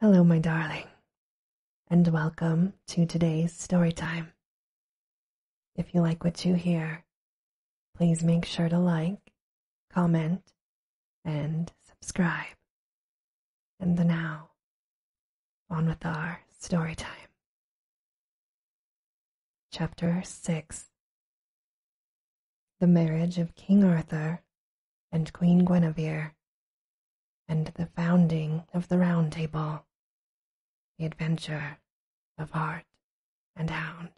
Hello, my darling, and welcome to today's storytime. If you like what you hear, please make sure to like, comment, and subscribe. And now, on with our storytime. Chapter 6 the marriage of King Arthur and Queen Guinevere, and the founding of the Round Table, the adventure of Hart and Hound.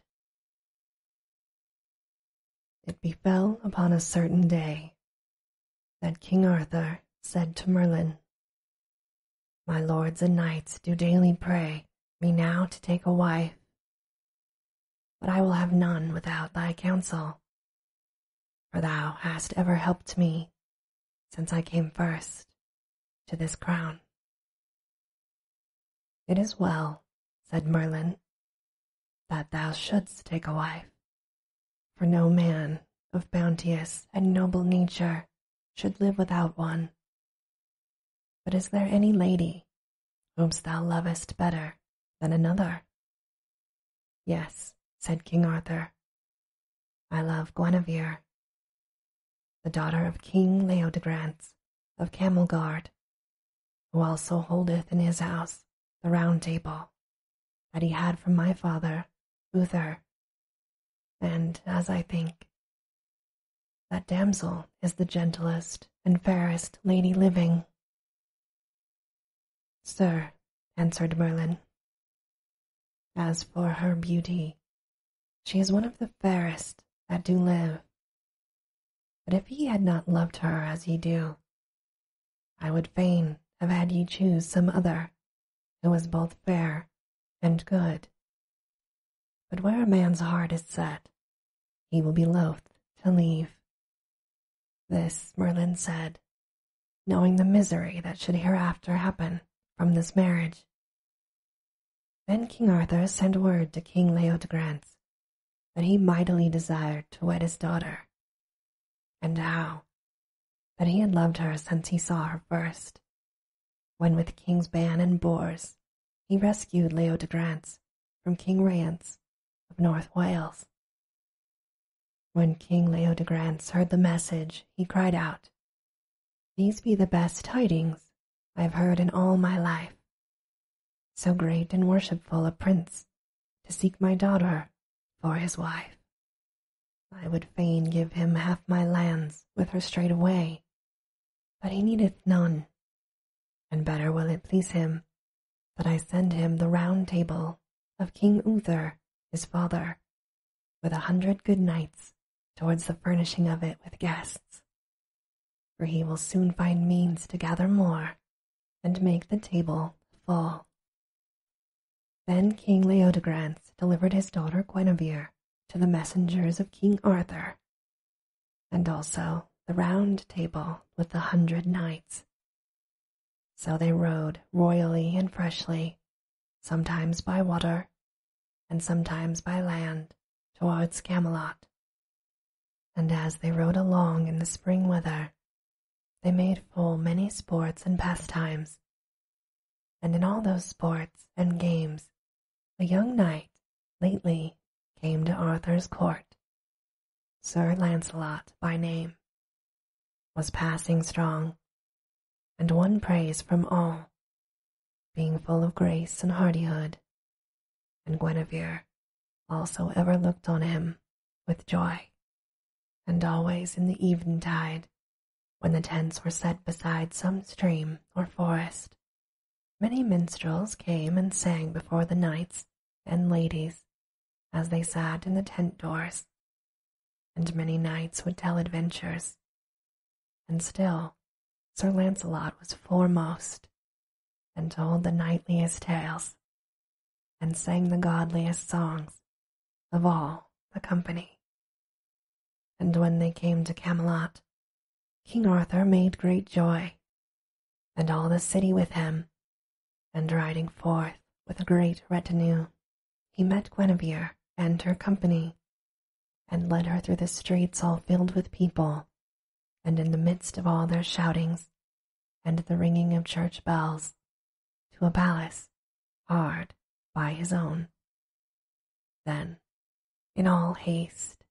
It befell upon a certain day that King Arthur said to Merlin, My lords and knights do daily pray me now to take a wife, but I will have none without thy counsel for thou hast ever helped me since I came first to this crown. It is well, said Merlin, that thou shouldst take a wife, for no man of bounteous and noble nature should live without one. But is there any lady whomst thou lovest better than another? Yes, said King Arthur, I love Guinevere, the daughter of King Leodegrance of Camelgard, who also holdeth in his house the round table that he had from my father, Uther. And as I think, that damsel is the gentlest and fairest lady living, Sir, answered Merlin, as for her beauty, she is one of the fairest that do live. But if ye had not loved her as ye do, I would fain have had ye choose some other who was both fair and good. But where a man's heart is set, he will be loth to leave. This Merlin said, knowing the misery that should hereafter happen from this marriage. Then King Arthur sent word to King Leodegrance that he mightily desired to wed his daughter, and how that he had loved her since he saw her first, when with King's ban and boars he rescued Leodegrance from King Rance of North Wales. When King Leodegrance heard the message, he cried out, These be the best tidings I have heard in all my life. So great and worshipful a prince to seek my daughter for his wife. I would fain give him half my lands with her straightway, but he needeth none, and better will it please him that I send him the round table of King Uther, his father, with a hundred good knights towards the furnishing of it with guests. For he will soon find means to gather more and make the table full. Then King Leodegrance delivered his daughter Guinevere to the messengers of King Arthur, and also the round table with the hundred knights. So they rode royally and freshly, sometimes by water and sometimes by land towards Camelot. And as they rode along in the spring weather, they made full many sports and pastimes. And in all those sports and games, a young knight lately came to Arthur's court Sir Launcelot by name, was passing strong, and won praise from all, being full of grace and hardihood, and Guinevere also ever looked on him with joy, and always in the eventide, when the tents were set beside some stream or forest, Many minstrels came and sang before the knights and ladies as they sat in the tent doors, and many knights would tell adventures. And still Sir Launcelot was foremost, and told the knightliest tales, and sang the godliest songs of all the company. And when they came to Camelot, King Arthur made great joy and all the city with him, and riding forth with a great retinue, he met Guinevere and her company, and led her through the streets all filled with people, and in the midst of all their shoutings and the ringing of church bells, to a palace hard by his own. Then, in all haste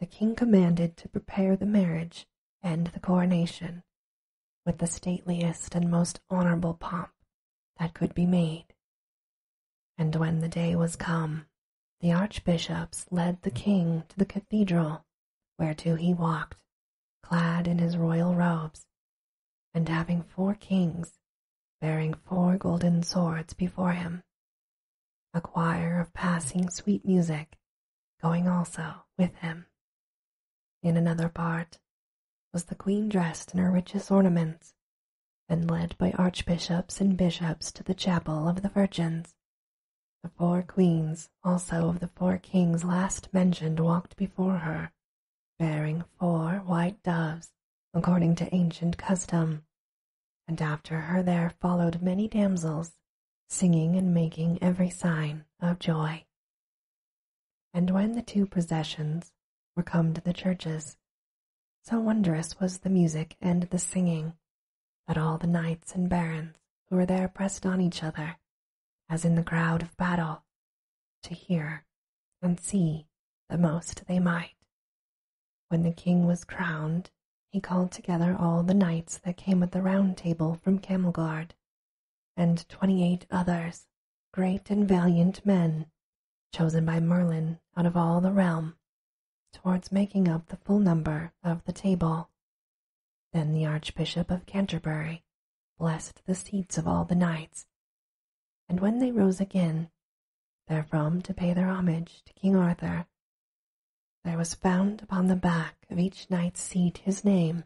the king commanded to prepare the marriage and the coronation with the stateliest and most honorable pomp that could be made. And when the day was come, the archbishops led the king to the cathedral, whereto he walked, clad in his royal robes, and having four kings bearing four golden swords before him, a choir of passing sweet music going also with him. In another part was the queen dressed in her richest ornaments and led by archbishops and bishops to the chapel of the virgins. The four queens also of the four kings last mentioned walked before her, bearing four white doves according to ancient custom, and after her there followed many damsels singing and making every sign of joy. And when the two processions were come to the churches, so wondrous was the music and the singing that all the knights and barons who were there pressed on each other, as in the crowd of battle, to hear and see the most they might. When the king was crowned he called together all the knights that came at the round table from Camelgard, and twenty-eight others, great and valiant men, chosen by Merlin out of all the realm, towards making up the full number of the table. Then the Archbishop of Canterbury blessed the seats of all the knights, and when they rose again, therefrom to pay their homage to King Arthur there was found upon the back of each knight's seat his name,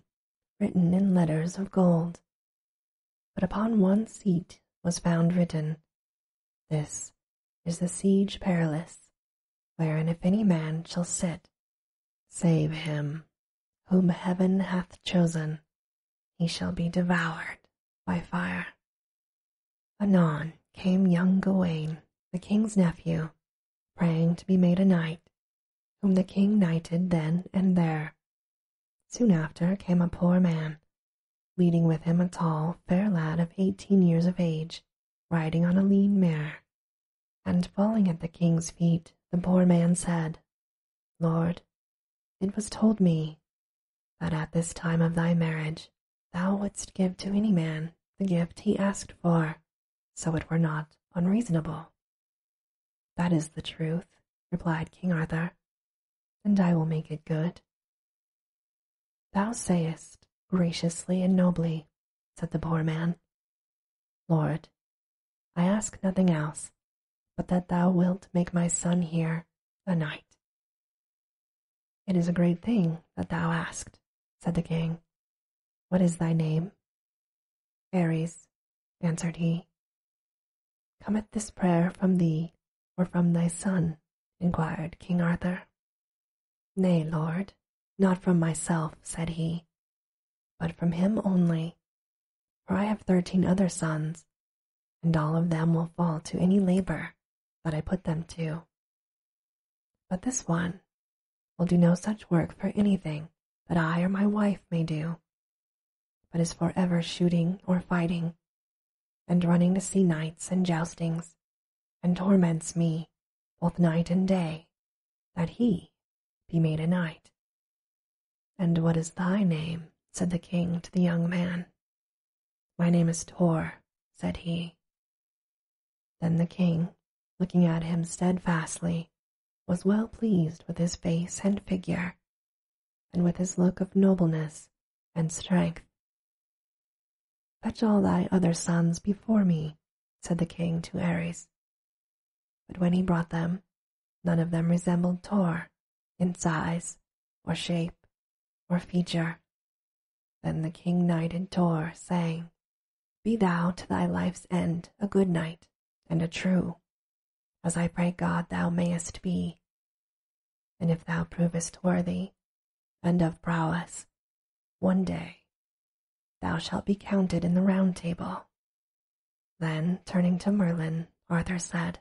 written in letters of gold. But upon one seat was found written, This is the siege perilous, wherein if any man shall sit, save him whom heaven hath chosen, he shall be devoured by fire. Anon came young Gawain, the king's nephew, praying to be made a knight, whom the king knighted then and there. Soon after came a poor man, leading with him a tall, fair lad of eighteen years of age, riding on a lean mare. And falling at the king's feet, the poor man said, Lord, it was told me that at this time of thy marriage thou wouldst give to any man the gift he asked for, so it were not unreasonable. That is the truth, replied King Arthur, and I will make it good. Thou sayest graciously and nobly, said the poor man. Lord, I ask nothing else but that thou wilt make my son here a knight, it is a great thing that thou asked, said the king. What is thy name? Ares, answered he. Cometh this prayer from thee or from thy son? inquired King Arthur. Nay, lord, not from myself, said he, but from him only, for I have thirteen other sons, and all of them will fall to any labor that I put them to. But this one will do no such work for anything that I or my wife may do, but is for ever shooting or fighting, and running to see knights and joustings, and torments me both night and day, that he be made a knight. And what is thy name? said the king to the young man. My name is Tor, said he, then the king, looking at him steadfastly, was well pleased with his face and figure, and with his look of nobleness and strength. Fetch all thy other sons before me, said the king to Ares. But when he brought them, none of them resembled Tor in size or shape or feature then the king knighted Tor, saying, Be thou to thy life's end a good knight and a true, as I pray God thou mayest be. And if thou provest worthy and of prowess, one day thou shalt be counted in the round table. Then, turning to Merlin, Arthur said,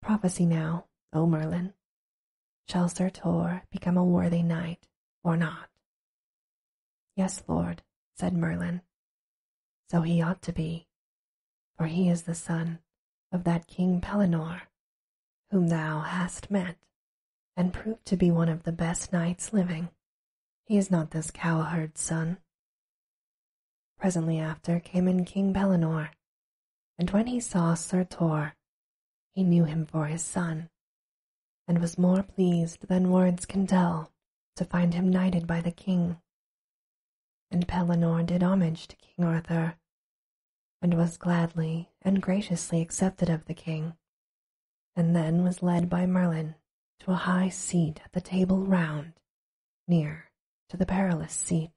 Prophesy now, O Merlin, Shall Sir Tor become a worthy knight or not? Yes, Lord, said Merlin. So he ought to be, for he is the son of that King Pellinore, whom thou hast met, and proved to be one of the best knights living. He is not this cowherd's son. Presently after came in King Pellinore, and when he saw Sir Tor, he knew him for his son, and was more pleased than words can tell to find him knighted by the king. And Pellinore did homage to King Arthur, and was gladly and graciously accepted of the king, and then was led by Merlin to a high seat at the table round, near to the perilous seat,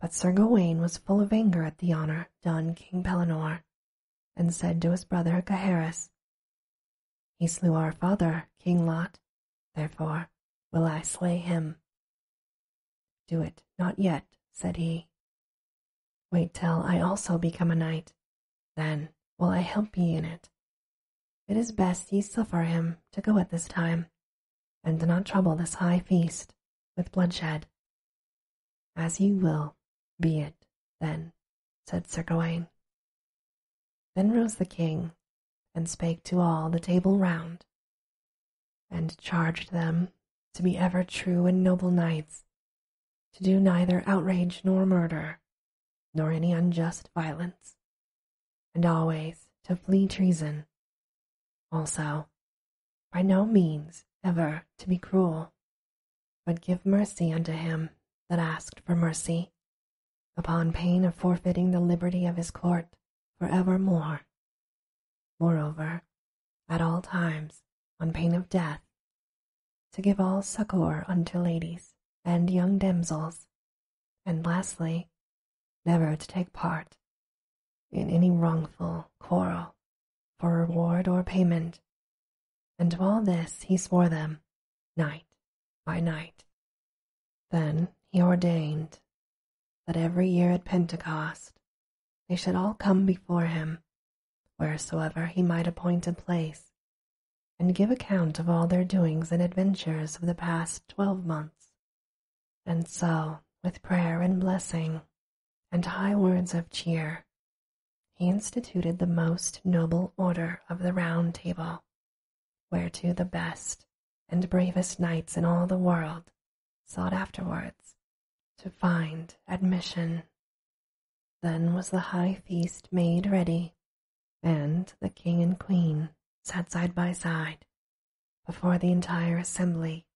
but Sir Gawain was full of anger at the honor done King Pellinore, and said to his brother Gaheris, He slew our father, King Lot, therefore will I slay him. Do it not yet, said he. Wait till I also become a knight, then will I help ye in it. It is best ye suffer him to go at this time and do not trouble this high feast with bloodshed. As you will, be it, then, said Sir Gawaine. Then rose the king, and spake to all the table round, and charged them to be ever true and noble knights, to do neither outrage nor murder, nor any unjust violence, and always to flee treason also, by no means ever to be cruel, but give mercy unto him that asked for mercy, upon pain of forfeiting the liberty of his court for evermore. Moreover, at all times, on pain of death, to give all succour unto ladies and young damsels, and lastly, never to take part in any wrongful quarrel for reward or payment. And to all this he swore them night by night. Then he ordained that every year at Pentecost they should all come before him, wheresoever he might appoint a place, and give account of all their doings and adventures of the past twelve months, and so, with prayer and blessing, and high words of cheer, he instituted the most noble order of the Round Table, whereto the best and bravest knights in all the world sought afterwards to find admission. Then was the high feast made ready, and the king and queen sat side by side before the entire assembly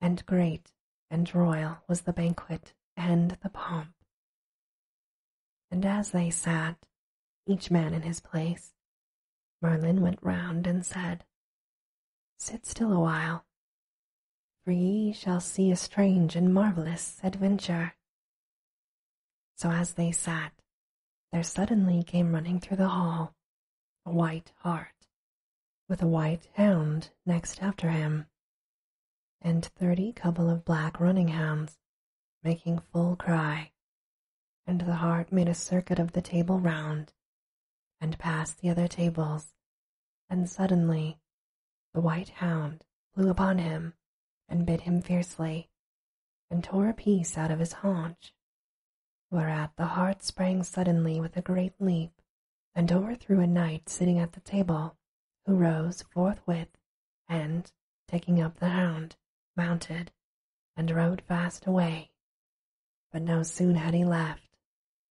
and great and royal was the banquet and the pomp. And as they sat, each man in his place, Merlin went round and said, Sit still awhile, for ye shall see a strange and marvellous adventure. So as they sat, there suddenly came running through the hall a white hart, with a white hound next after him, and thirty couple of black running hounds making full cry, and the hart made a circuit of the table round, and past the other tables, and suddenly the white hound flew upon him and bit him fiercely, and tore a piece out of his haunch Whereat the hart sprang suddenly with a great leap, and overthrew a knight sitting at the table, who rose forthwith, and, taking up the hound, mounted, and rode fast away. But no soon had he left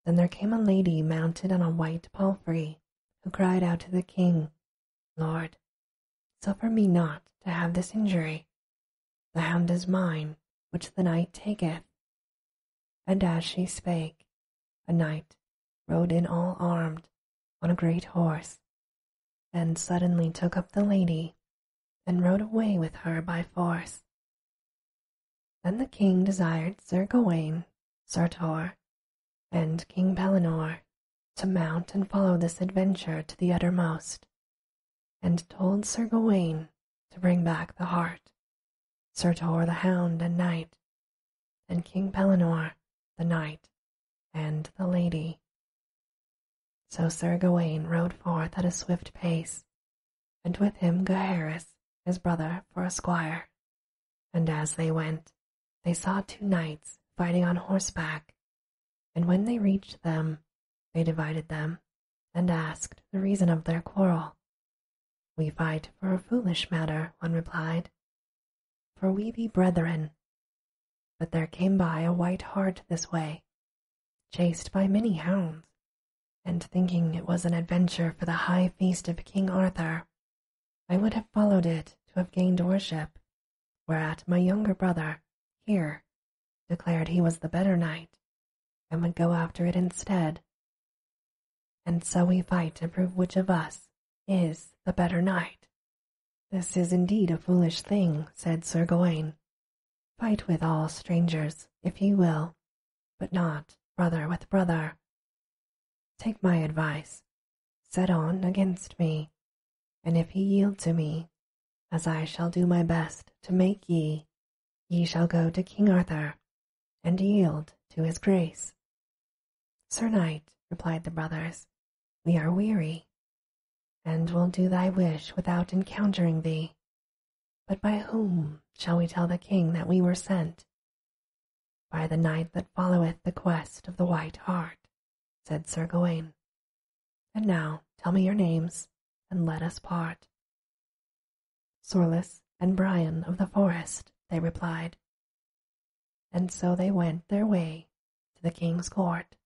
than there came a lady mounted on a white palfrey, who cried out to the king, Lord, suffer me not to have this injury, the hand is mine, which the knight taketh. And as she spake, a knight rode in all armed on a great horse, and suddenly took up the lady and rode away with her by force. Then the king desired Sir Gawain, Tor, and King Pellinore to mount and follow this adventure to the uttermost and told Sir Gawain to bring back the hart, Sir Tor the hound and knight, and King Pellinore the knight and the lady. So Sir Gawain rode forth at a swift pace, and with him Gaheris, his brother, for a squire. And as they went, they saw two knights fighting on horseback, and when they reached them, they divided them and asked the reason of their quarrel. We fight for a foolish matter, one replied, for we be brethren. But there came by a white hart this way, chased by many hounds, and thinking it was an adventure for the high feast of King Arthur, I would have followed it to have gained worship, whereat my younger brother, here, declared he was the better knight, and would go after it instead. And so we fight to prove which of us is the better knight. This is indeed a foolish thing, said Sir Gawain. Fight with all strangers, if ye will, but not brother with brother. Take my advice, set on against me, and if he yield to me, as I shall do my best to make ye, ye shall go to King Arthur and yield to his grace. Sir Knight, replied the brothers, we are weary, and will do thy wish without encountering thee. But by whom shall we tell the king that we were sent? By the knight that followeth the quest of the white hart, said Sir Gawaine. And now tell me your names, and let us part. Sorlus and Brian of the forest, they replied. And so they went their way to the king's court.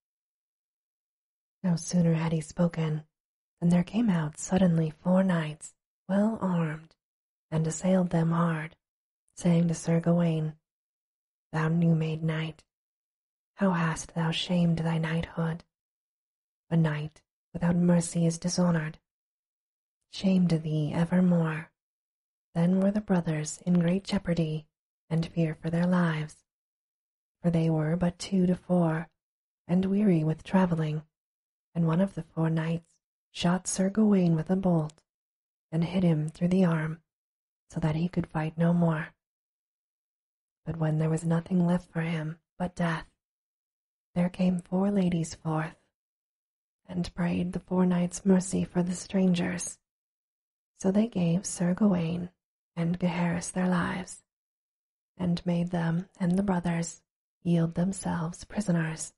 No sooner had he spoken than there came out suddenly four knights, well armed, and assailed them hard, saying to Sir Gawain, Thou new made knight, how hast thou shamed thy knighthood? A knight without mercy is dishonored. Shame to thee evermore. Then were the brothers in great jeopardy and fear for their lives, for they were but two to four, and weary with travelling, and one of the four knights shot Sir Gawain with a bolt, and hit him through the arm, so that he could fight no more. But when there was nothing left for him but death, there came four ladies forth, and prayed the four knights mercy for the strangers. So they gave Sir Gawain and Gaheris their lives, and made them and the brothers yield themselves prisoners.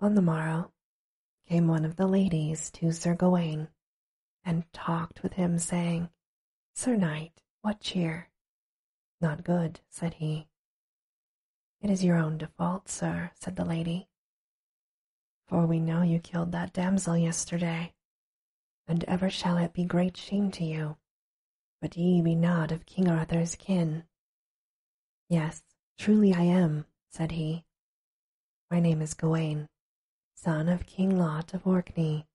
On the morrow came one of the ladies to Sir Gawain, and talked with him, saying, Sir Knight, what cheer? Not good, said he. It is your own default, sir, said the lady. For we know you killed that damsel yesterday, and ever shall it be great shame to you, but ye be not of King Arthur's kin. Yes, truly I am, said he. My name is Gawain, son of King Lot of Orkney,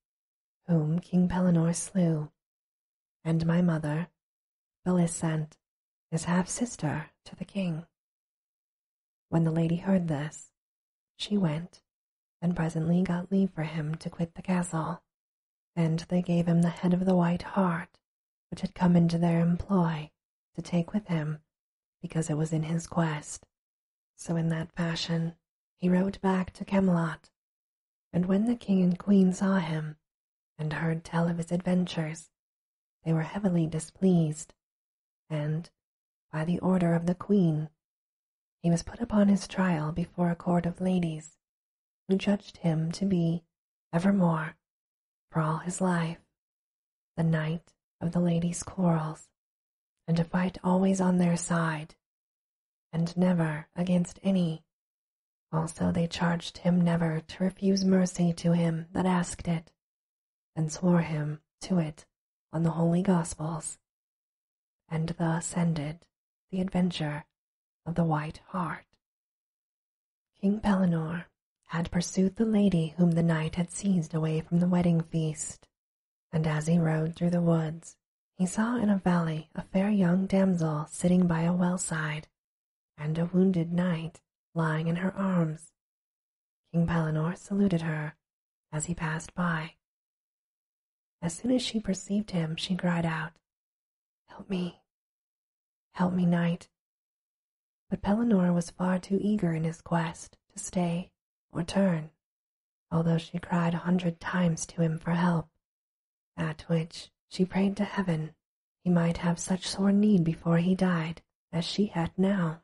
whom King Pellinore slew, and my mother, Bellisant, is half sister to the king. When the lady heard this, she went and presently got leave for him to quit the castle, and they gave him the head of the white hart which had come into their employ to take with him because it was in his quest so in that fashion he rode back to Camelot, and when the king and queen saw him and heard tell of his adventures, they were heavily displeased, and, by the order of the queen, he was put upon his trial before a court of ladies, who judged him to be evermore, for all his life, the knight of the ladies' quarrels and to fight always on their side, and never against any. Also they charged him never to refuse mercy to him that asked it, and swore him to it on the holy Gospels. And thus ended the adventure of the White Hart. King Pellinore had pursued the lady whom the knight had seized away from the wedding feast and as he rode through the woods, he saw in a valley a fair young damsel sitting by a well-side, and a wounded knight lying in her arms. King Pellinore saluted her as he passed by. As soon as she perceived him, she cried out, Help me, help me, knight. But Pellinore was far too eager in his quest to stay or turn, although she cried a hundred times to him for help, at which she prayed to heaven he might have such sore need before he died as she had now.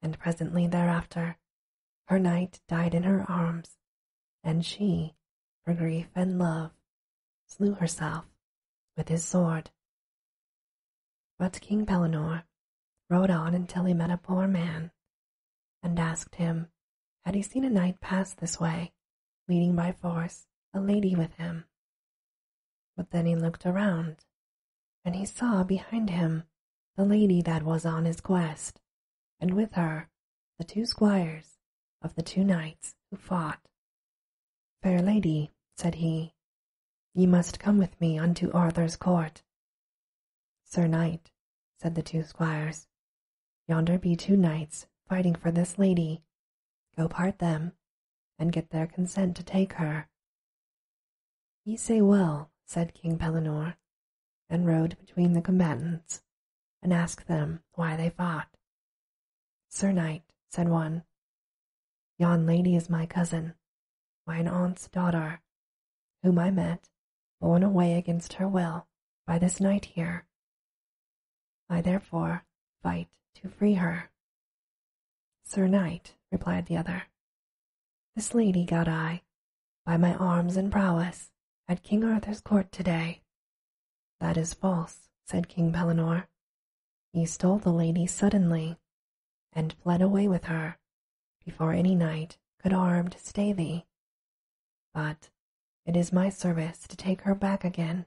And presently thereafter, her knight died in her arms, and she, for grief and love, slew herself with his sword. But King Pellinore rode on until he met a poor man, and asked him had he seen a knight pass this way, leading by force a lady with him. But then he looked around, and he saw behind him the lady that was on his quest, and with her the two squires of the two knights who fought. Fair lady, said he, ye must come with me unto Arthur's court Sir Knight, said the two squires, yonder be two knights fighting for this lady. Go part them, and get their consent to take her. Ye say well, said King Pellinore, and rode between the combatants, and asked them why they fought. Sir Knight, said one, yon lady is my cousin, mine aunt's daughter, whom I met, borne away against her will by this knight here. I therefore fight to free her. Sir Knight, replied the other, this lady got I, by my arms and prowess, at King Arthur's court today. That is false, said King Pellinore. He stole the lady suddenly, and fled away with her before any knight could armed stay thee. But it is my service to take her back again.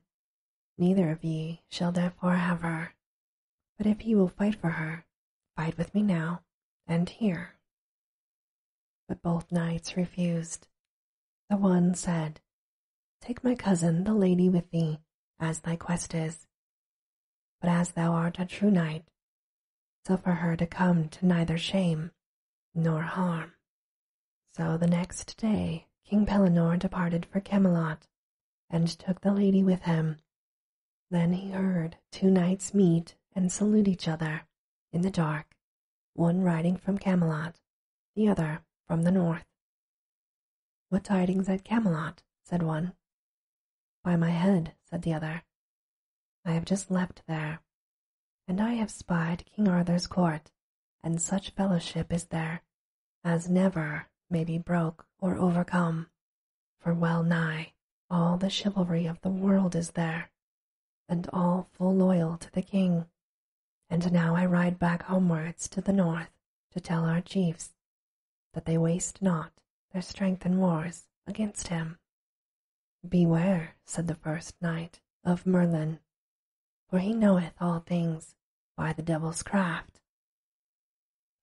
Neither of ye shall therefore have her. But if ye will fight for her, fight with me now and here. But both knights refused. The one said, Take my cousin, the lady, with thee, as thy quest is. But as thou art a true knight, so for her to come to neither shame nor harm. So the next day King Pellinore departed for Camelot, and took the lady with him. Then he heard two knights meet and salute each other in the dark, one riding from Camelot, the other from the north. What tidings at Camelot? said one. By my head, said the other. I have just left there, and I have spied King Arthur's court, and such fellowship is there as never may be broke or overcome, for well nigh all the chivalry of the world is there, and all full loyal to the king. And now I ride back homewards to the north to tell our chiefs that they waste not their strength in wars against him. Beware, said the first knight, of Merlin, for he knoweth all things by the devil's craft.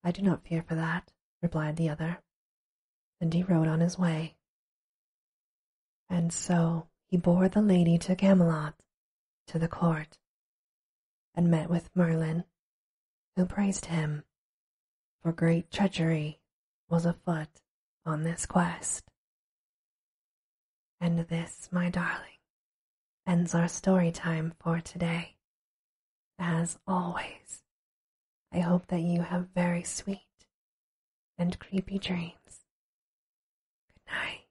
I do not fear for that, replied the other, and he rode on his way. And so he bore the lady to Camelot, to the court, and met with Merlin, who praised him for great treachery was afoot on this quest. And this, my darling, ends our story time for today. As always, I hope that you have very sweet and creepy dreams. Good night.